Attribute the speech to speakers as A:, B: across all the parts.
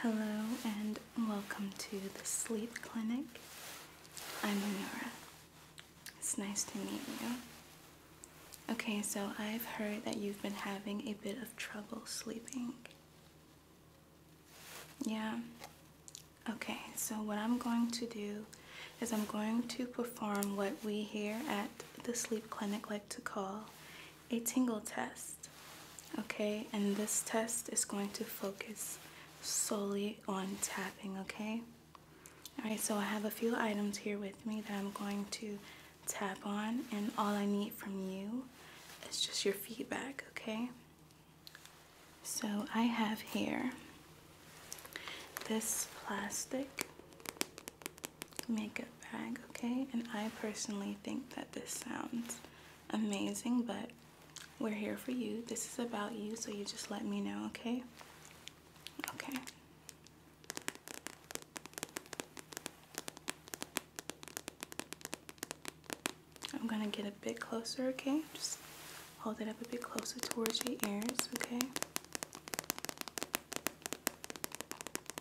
A: Hello and welcome to the Sleep Clinic. I'm Amira. It's nice to meet you. Okay, so I've heard that you've been having a bit of trouble sleeping. Yeah? Okay, so what I'm going to do is I'm going to perform what we here at the sleep clinic like to call a tingle test. Okay, and this test is going to focus solely on tapping, okay? Alright, so I have a few items here with me that I'm going to tap on, and all I need from you is just your feedback, okay? So I have here this plastic makeup bag, okay? And I personally think that this sounds amazing, but we're here for you. This is about you, so you just let me know, okay? Okay. I'm gonna get a bit closer, okay? Just hold it up a bit closer towards your ears, okay?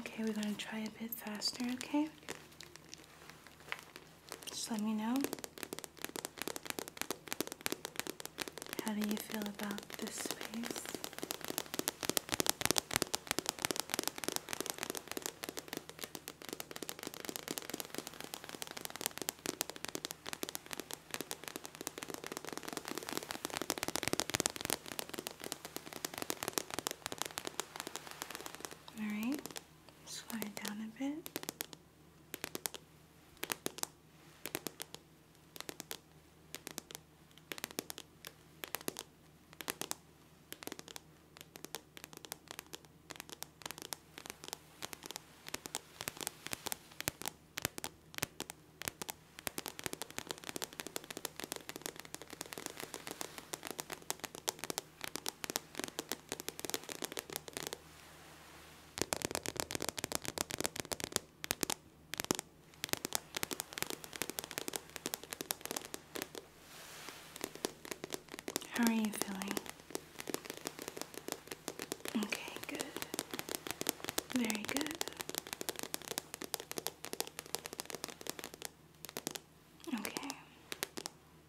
A: Okay, we're going to try a bit faster, okay? Just let me know. How do you feel about this space? All right slide down a bit. How are you feeling? Okay, good. Very good. Okay,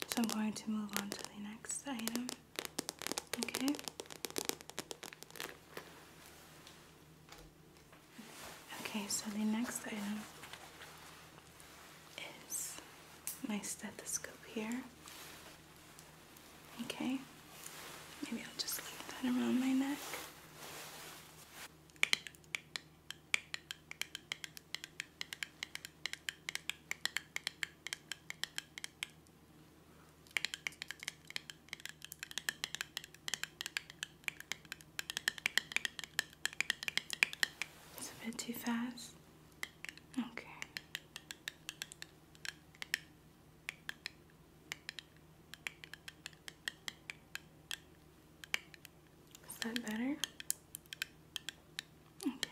A: so I'm going to move on to the next item. Okay. Okay, so the next item is my stethoscope here. Okay, maybe I'll just leave that around my neck. It's a bit too fast. Okay. Is that better? Okay.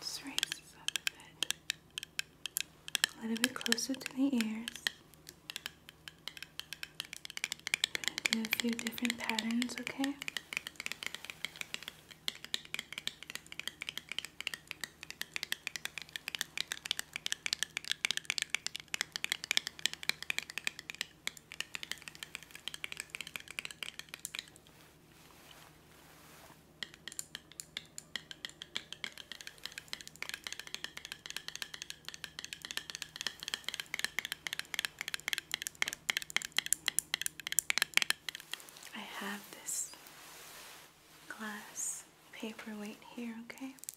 A: Just raise a bit. A little bit closer to the ears. do a few different patterns, okay? I have this glass paperweight here, okay?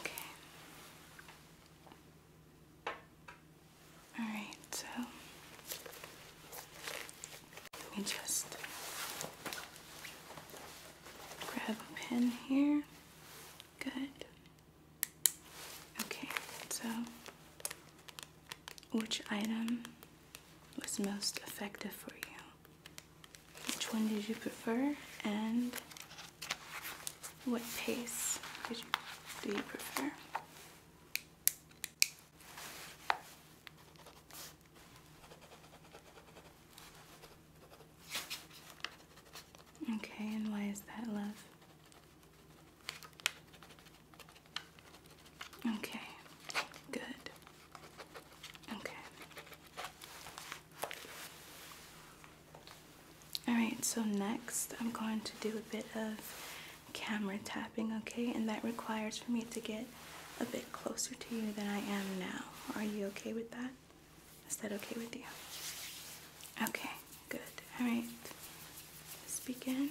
A: Okay. All right, so let me just grab a pen here. Good. Okay, so which item was most effective for you? Which one did you prefer and what pace did you, do you prefer? Okay, and why is that love? Okay, good. Okay. Alright, so next I'm going to do a bit of camera tapping, okay? And that requires for me to get a bit closer to you than I am now. Are you okay with that? Is that okay with you? Okay, good. Alright, let's begin.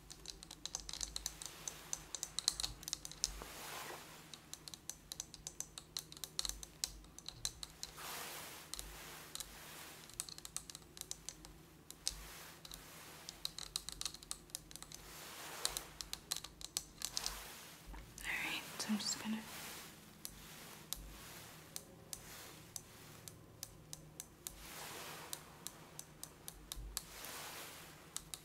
A: Alright, so I'm just gonna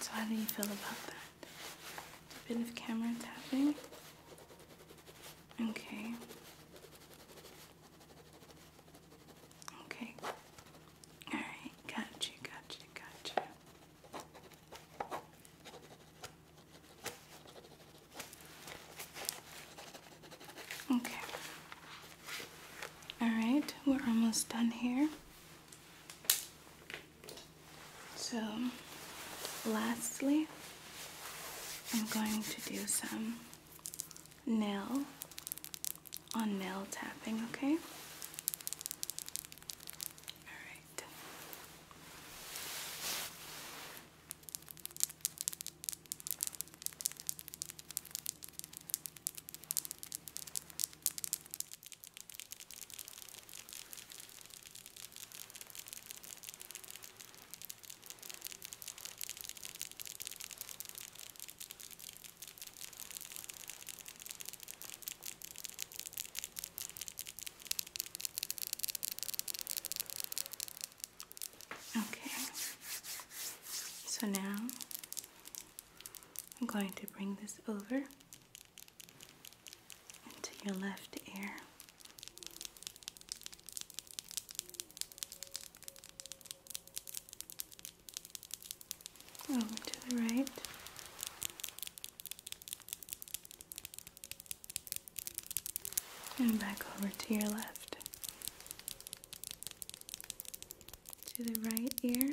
A: So how do you feel about that? A bit of camera tapping? Okay. Okay. Alright, gotcha, gotcha, gotcha. Okay. Alright, we're almost done here. So, lastly, I'm going to do some nail on nail tapping, okay? Alright. Okay, so now I'm going to bring this over into your left ear. Over to the right. And back over to your left. To the right ear.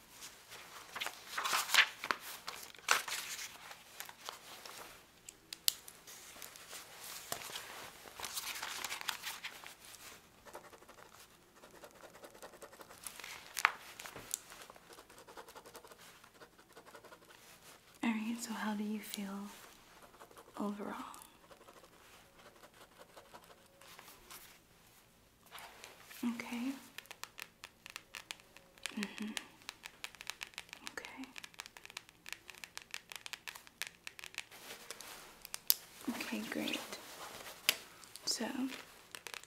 A: All right, so how do you feel overall? Okay. Mm-hmm. Okay. Okay, great. So,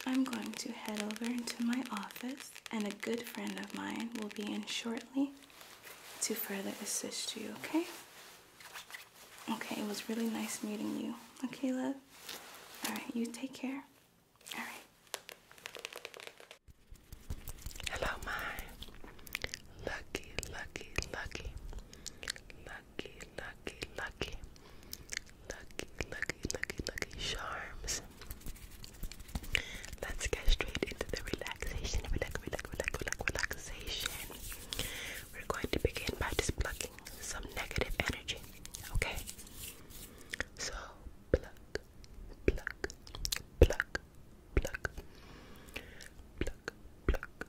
A: I'm going to head over into my office, and a good friend of mine will be in shortly to further assist you, okay? Okay, it was really nice meeting you. Okay, love? Alright, you take care. All right.
B: Hello, my lucky, lucky, lucky, lucky, lucky, lucky, lucky, lucky, lucky, lucky
A: charms. Let's get straight into the relaxation. Relax, relax, relax, relax, relaxation. We're going
B: to begin by just plucking some negative energy. Okay. So pluck, pluck, pluck, pluck, pluck, pluck, pluck, pluck, pluck.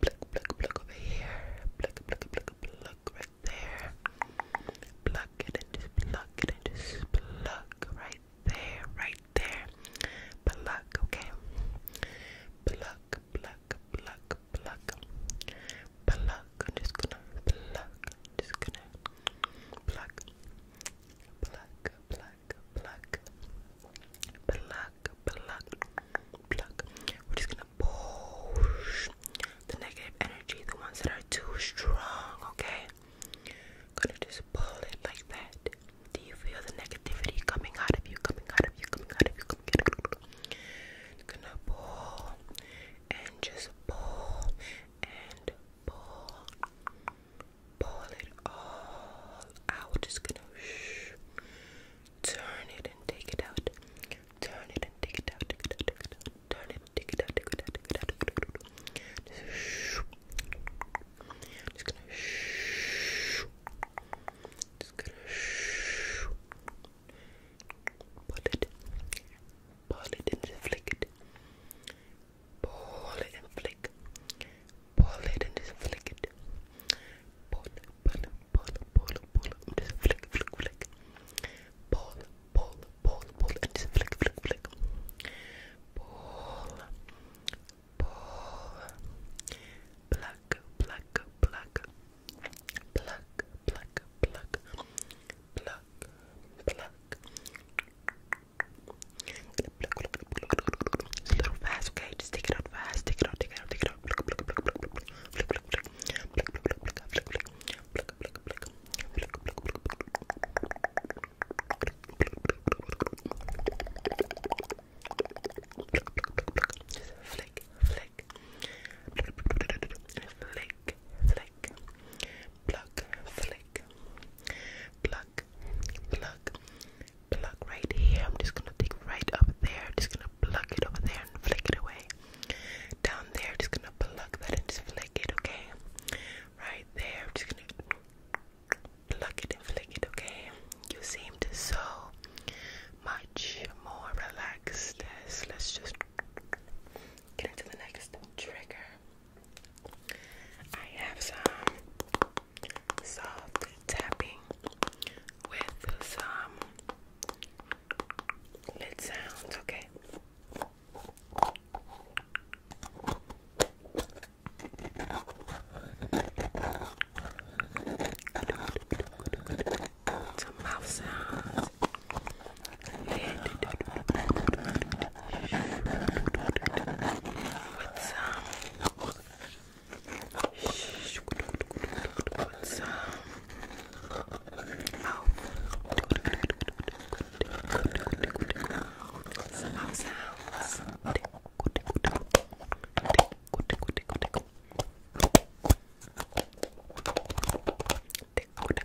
B: Pluck, pluck, pluck over here. Pluck, pluck, pluck, pluck right there. Pluck it and just pluck it and just pluck right there, right there. Pluck, okay. Pluck, pluck, pluck, pluck, pluck, I'm just gonna pluck, just gonna pluck, pluck, pluck, pluck, pluck, pluck, pluck. We're just gonna push the negative energy, the ones that are too strong. Okay, gonna just pull it like that. Do you feel the negativity coming out of you? Coming out of you? Coming out of you? Coming out of you? It's gonna pull and just pull and pull, pull it all out. Just gonna shh, turn it and take it out. Turn it and take it out. Take it out. Take it out. Turn it, take it out. Take it out. Take it out. Take it out. Just shh. Just gonna shh. Just gonna shh. Pull it. Pull it and flick it. Pull it and flick. Pull it and just flick it. Pull, pull, pull, pull, pull, and just flick, flick, flick. Pull, pull, pull, pull, and just flick, flick, flick. Pull, pull. Pluck, pluck, pluck, Pluck, pluck, pluck, pluck, pluck. It's a little fast, okay? Just take it out fast, take it out, take it out, take it out. Pluck, pluck, pluck, pluck, pluck, pluck, pluck, pluck, pluck, pluck, pluck, pluck, pluck, pluck. Pluck, pluck, pluck. Pluck, pluck, pluck. Flick, flick. Flick, flick. Pluck, flick. Pluck, pluck. Pluck right here. I'm just gonna take right up there. Just gonna pluck it over there and flick it away. Down there, just gonna pluck that and just flick it, okay? Right there, just gonna pluck it and flick it, okay? You seem to so much more relaxed let's just get into the next trigger.
A: I have some soft
B: tapping with some lid sounds, okay? to mouth sounds. With some, with oh, some mouth sounds. Open, open, close, open, close, open, close, open,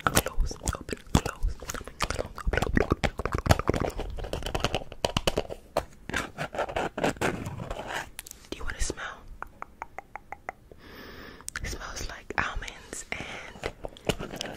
B: close, open, close, open, Do you want to smell? It smells like almonds and vanilla.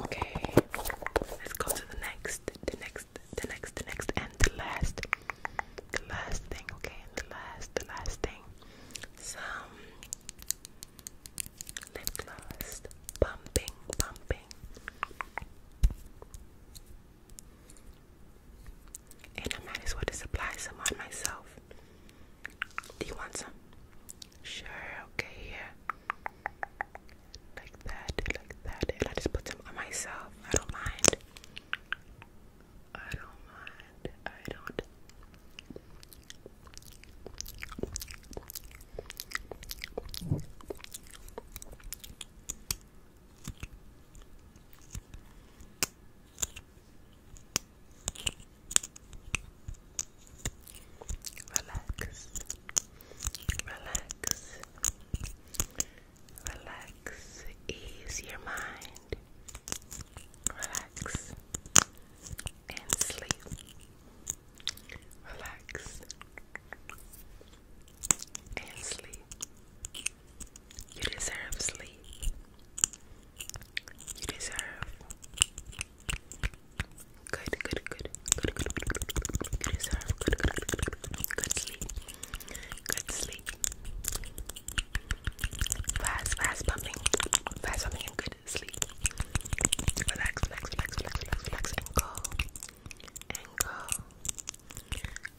B: Okay, let's go to the next, the next, the next, the next, and the last, the last thing. Okay, the last, the last thing. Some lip gloss, pumping, pumping. And I might as well just apply some on myself. Do you want some? Sure, okay, yeah. Like that, like that. And I just put some on myself. I don't mind. I don't mind. I don't. Relax. Relax. Relax. Ease your mind.
A: Relax. And sleep. Relax. And sleep. You deserve sleep. You deserve Good, good, good, good, good, good. You deserve good, good, good, good, good, good sleep. Good sleep. Fast, fast pumping, fast pumping, and good sleep. Relax, relax, relax, relax, relax, relax, and go, and go,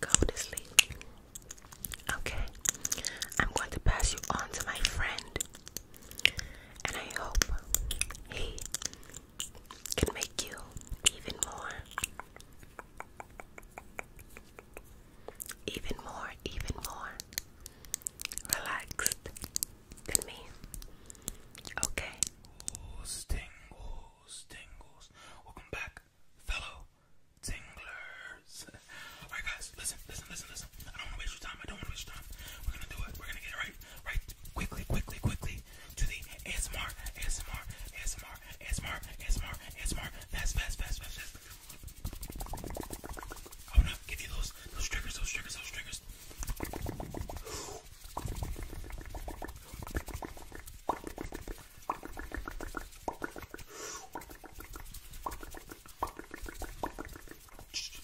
A: go to sleep. Okay, I'm going to pass you on to my friend. And I hope he can make you
B: even more, even more, even more relaxed than me. Okay. Tingles, tingles. Welcome back, fellow tinglers. Alright guys, listen, listen, listen, listen. I don't wanna waste your time. I don't wanna waste your time. We're gonna do it. We're gonna get it right right quickly, quickly, quickly to the ASMR, ASMR, ASMR, ASMR, ASMR, ASMR, fast, fast, fast, fast, fast. I wanna give you those, those triggers, those triggers, those triggers. Shh.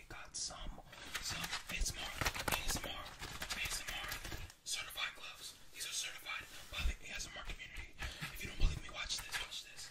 B: actually got some some ASMR ASMR ASMR certified gloves. These are certified by the ASMR community. If you don't believe me, watch this. Watch this.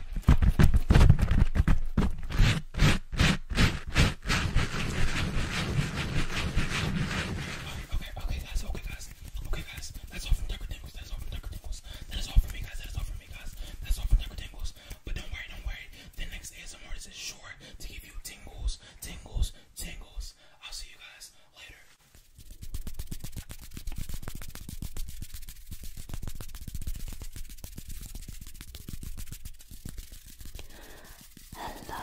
B: okay, okay, that's okay, guys. Okay, guys, that's all from Tucker Tingles. That's all from Tucker Tingles. That is all from me, guys. That is all for me, guys. That's all from Tucker Tingles. But don't worry, don't worry. The next ASMR is short to give you tingles, tingles, tingles. I'll see you guys later.
A: Hello,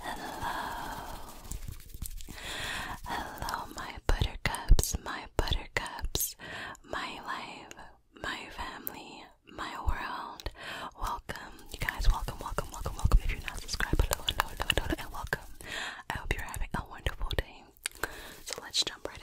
A: hello, hello, my buttercups, my buttercups, my life, my family, my world. Welcome, you guys, welcome, welcome, welcome, welcome. If you're not subscribed, hello, hello, hello, hello, and welcome. I hope you're having a wonderful day. So let's jump right in.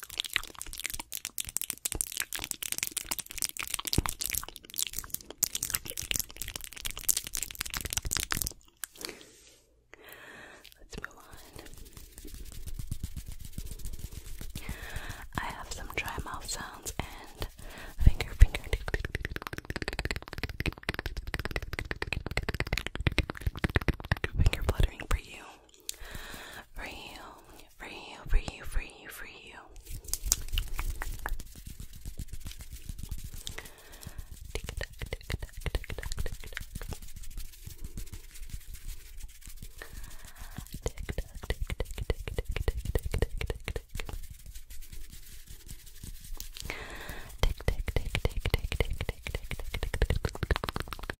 A: Let's move on. I have some dry mouth sounds and finger finger. Finger fluttering for you for you, for you, for you, for you, for you. Tick tock, tick tock, tick tock, tick tock. Tick tock, tick tock, tick tock, tick tock, tick tock. Tick tick tick tick tick tick tick tick tick tick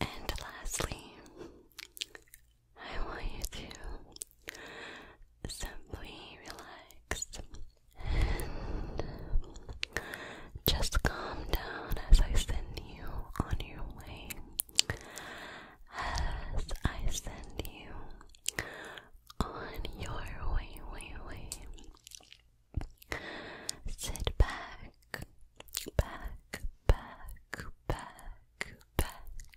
B: And lastly, I want you to Simply relax and just calm down as I send you on your way. As I send you on your way, way, way. Sit back, back, back, back, back,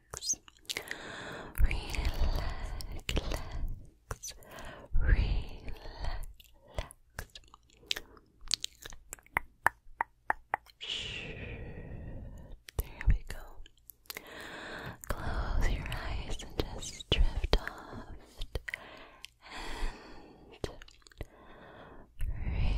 B: relax, relax, relax. There we go. Close your eyes and just drift off and breathe.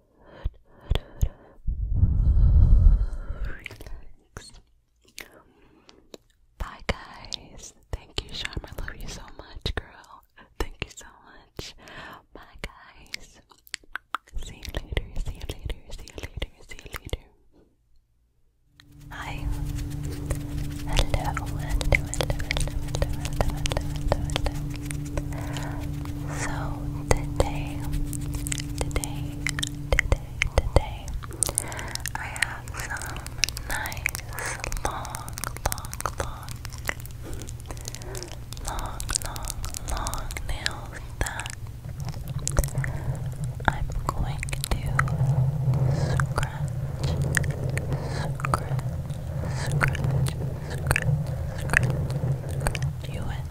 B: Relax. Bye, guys. Thank you, Charm. I love you so much, girl. Thank you so much. Bye, guys. See you later. See you later. See you later. See you later. Hi. Hello. Hello. Hello. Hello. Hello. Hello. Hello. Hello. So today today, today, today, I have some nice long, long, long, long, long, long nails that I'm going to scratch, scratch, scratch, scratch, scratch, scratch you with.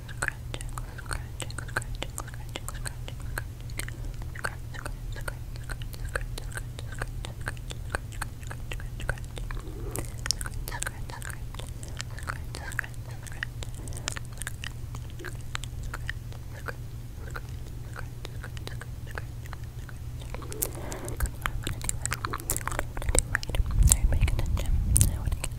B: scratching, scratching, scratching, scratching, scratching, scratching, scratching, Scratch, scratch, scratch, scratch,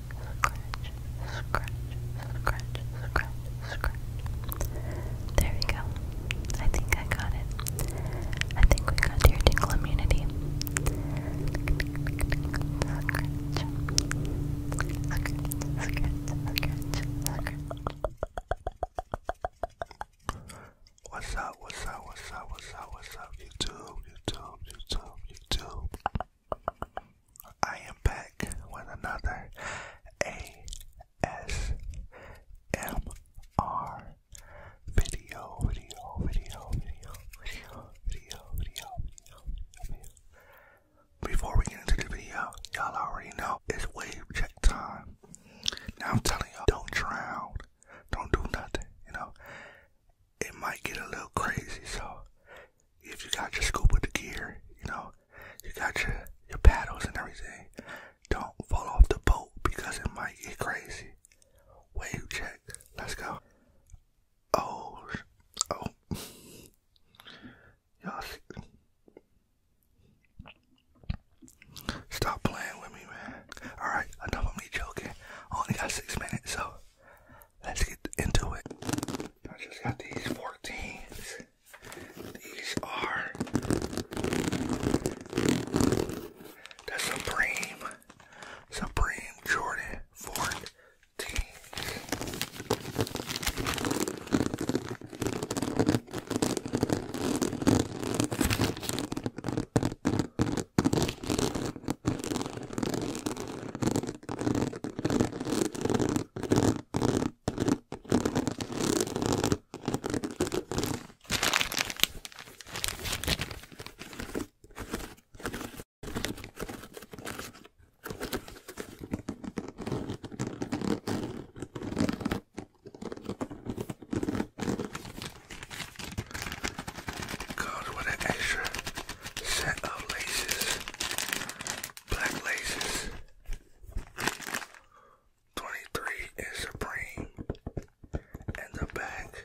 B: scratch, scratch, scratch, scratch. There we go. I think I got it. I think we got your tingle immunity. Scratch, scratch, scratch, scratch. What's up, what's up, what's up, what's up, what's up, YouTube, YouTube, YouTube, YouTube. I am back with another ASMR video, video, video, video, video, video, video, video, Before we get into the video, y'all already know it's wave check time. Now I'm telling y'all, don't drown, don't do nothing, you know. It might get a little crazy, so if you got your scuba gear, you know, you got your your paddles and everything, don't fall off the boat because it might get crazy. Wave check. Let's go. Oh, oh. Y'all Stop playing with me, man. Alright, enough of me joking. I only got six minutes, so let's get into it. I just got these 14s. These are the Supreme, Supreme Jordan 14s. God, what an extra set of laces. Black Laces. 23 is Supreme. And the back.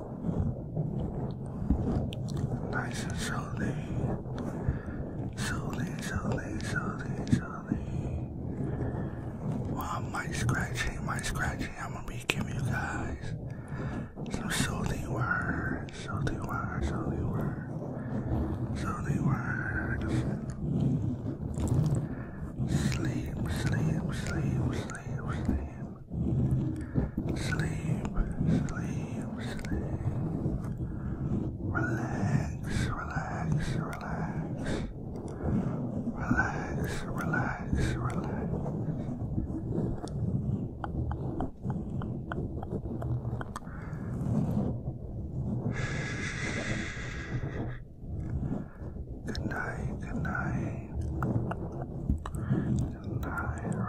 B: Nice and slowly. Slowly, slowly, slowly, slowly. While well, my scratching, my scratching, I'm gonna be giving you guys some soothing words, soothing words, soothing words, soothing words. Sleep, sleep, sleep, sleep, sleep. Sleep, sleep, sleep. Relax, relax, relax. Relax, relax, relax. Good night, good night. Relax, relax, relax, relax,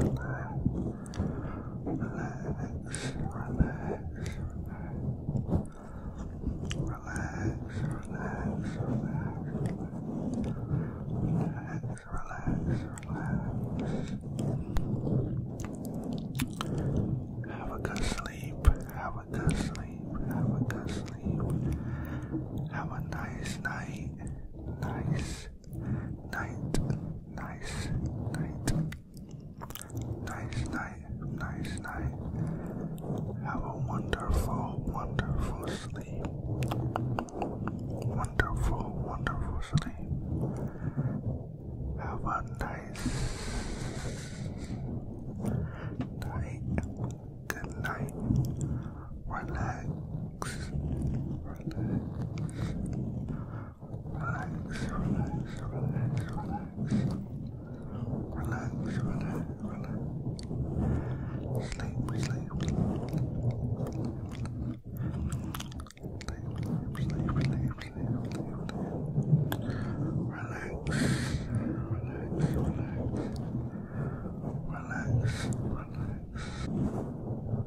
B: relax. Relax, relax, relax, relax, Have a good sleep, have a good sleep, have a good sleep. Have a nice night, nice, night, nice night, nice night, nice night. Have a wonderful, wonderful sleep. Wonderful, wonderful sleep. Have a nice night. Good night relax, relax, relax, relax, relax, relax. Relax, relax, relax. Sleep, sleep, sleep, sleep, sleep, sleep, sleep, sleep. Relax, relax, relax, relax, relax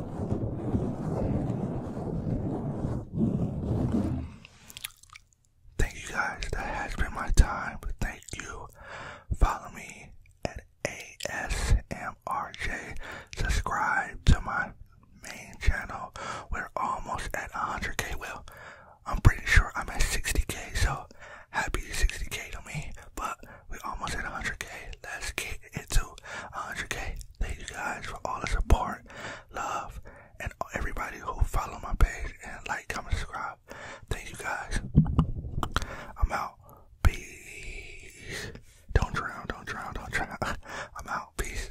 B: Thank you guys. That has been my time. Thank you. Follow me at ASMRJ. Subscribe to my main channel. We're almost at 100k. Well, I'm pretty sure I'm at 60k. So happy 60k to me. But we almost hit 100k. Let's get into 100k. Thank you guys for all the support, love, and everybody who follow my page and like, comment, subscribe. Thank you guys. I'm out. Peace. Don't drown, don't drown, don't drown. I'm out. Peace.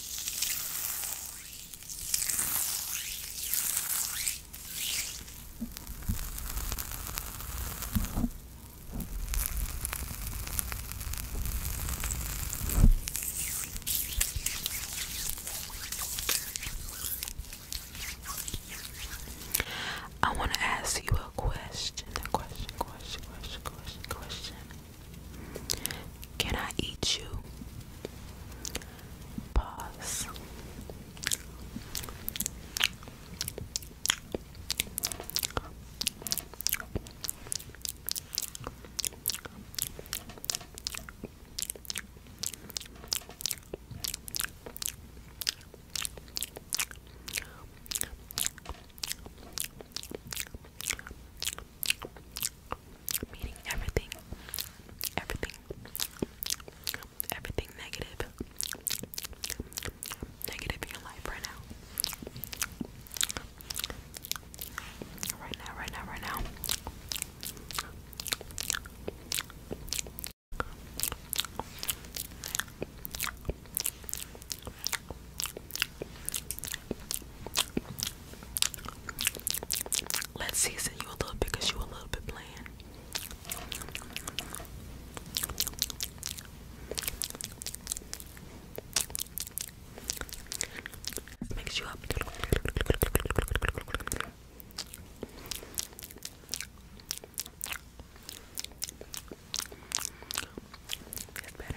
A: I want to ask you a question. Can I eat you? Pause. Meaning
B: everything, everything, everything negative, negative in your life right now. Right now, right now, right now. Let's season you a little bit because you a little bit bland. Mix you up. That's better.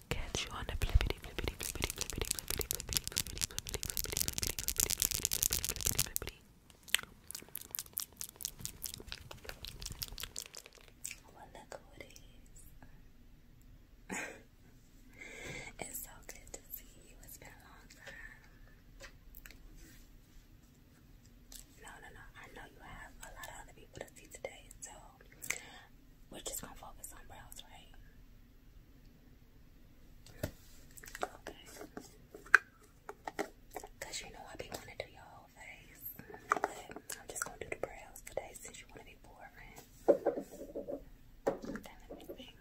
A: Catch you on It's so good to see you. It's been a long time. No, no, no. I know you have a lot of other people to see today, so we're just gonna focus on brows, right? Okay. Cause you know I be wanting to do your whole face, but I'm just gonna do the brows today since you wanna be boring. Okay, let me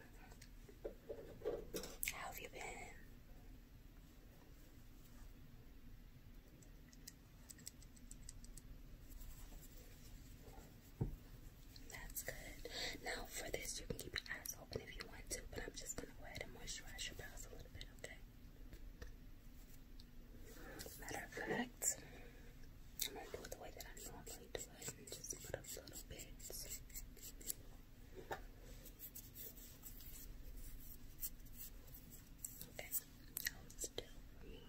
A: How have you been? That's good. Now for this, you can keep your eyes open if you want to, but I'm just gonna go ahead and moisturize your brows a little bit, okay?
B: Matter of fact, I'm gonna do it the way that I normally do it and just put a little bit. Okay, hold still for me.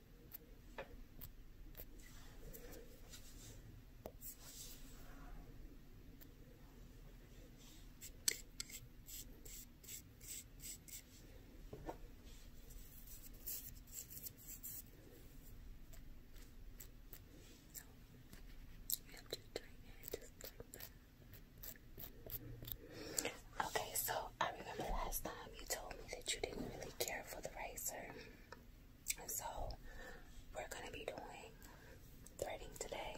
B: you
A: Okay, so I remember last time you told me that you didn't really care for the racer, And so we're gonna be doing threading today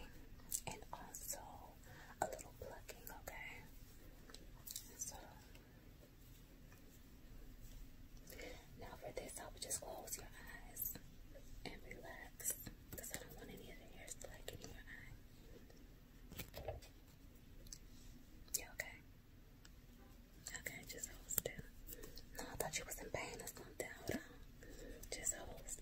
A: and also a little plucking, okay? So now for this I would just close your eyes and relax because I don't want any of the hairs to like in your eye. okay. Okay, just hold still. No, I thought you was in pain or something. Hold on. Just hold still.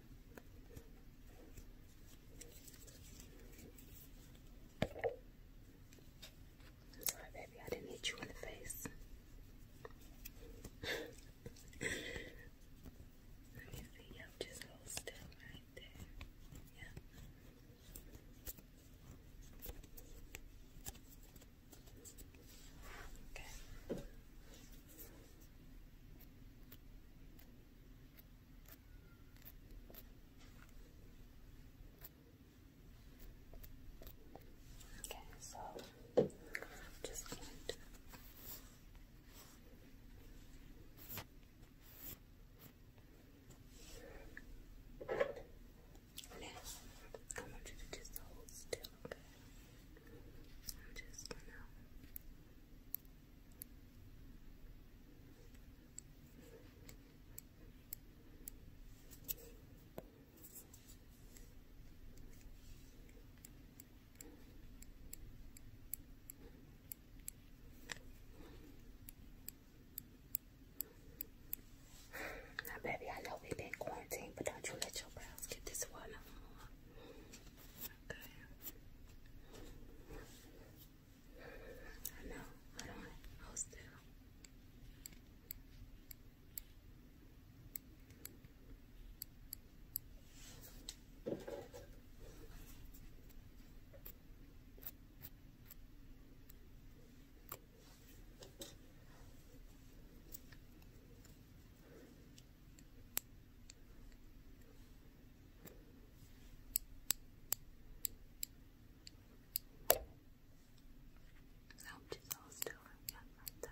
B: i sorry, baby, I didn't hit you in the face. Let me see, yep, just hold still right there. Yep. Okay. Okay, so just going to I want you to just hold still, okay? I'm just gonna
A: now, baby, I know we've been quarantined, but don't you let your brows get this one no I know, I don't want to hold still. I hope she's all still yeah, like that.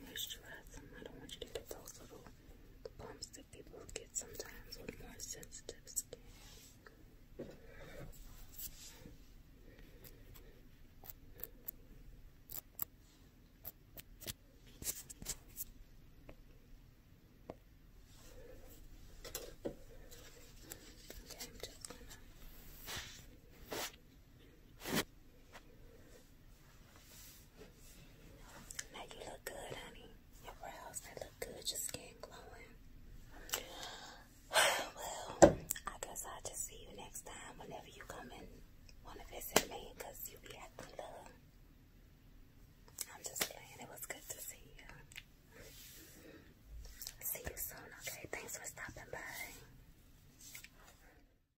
B: Moisturize them. I don't want you to get
A: those little bumps that people get sometimes with more sensitive skin. Okay, I'm just gonna now you look good, honey. Your brows, they look good. Your skin glowing. Well, I guess I'll just see you next time whenever you come and want to visit me because you be acting love. I'm just playing. It was good to see you. See you soon, okay? Thanks for stopping by.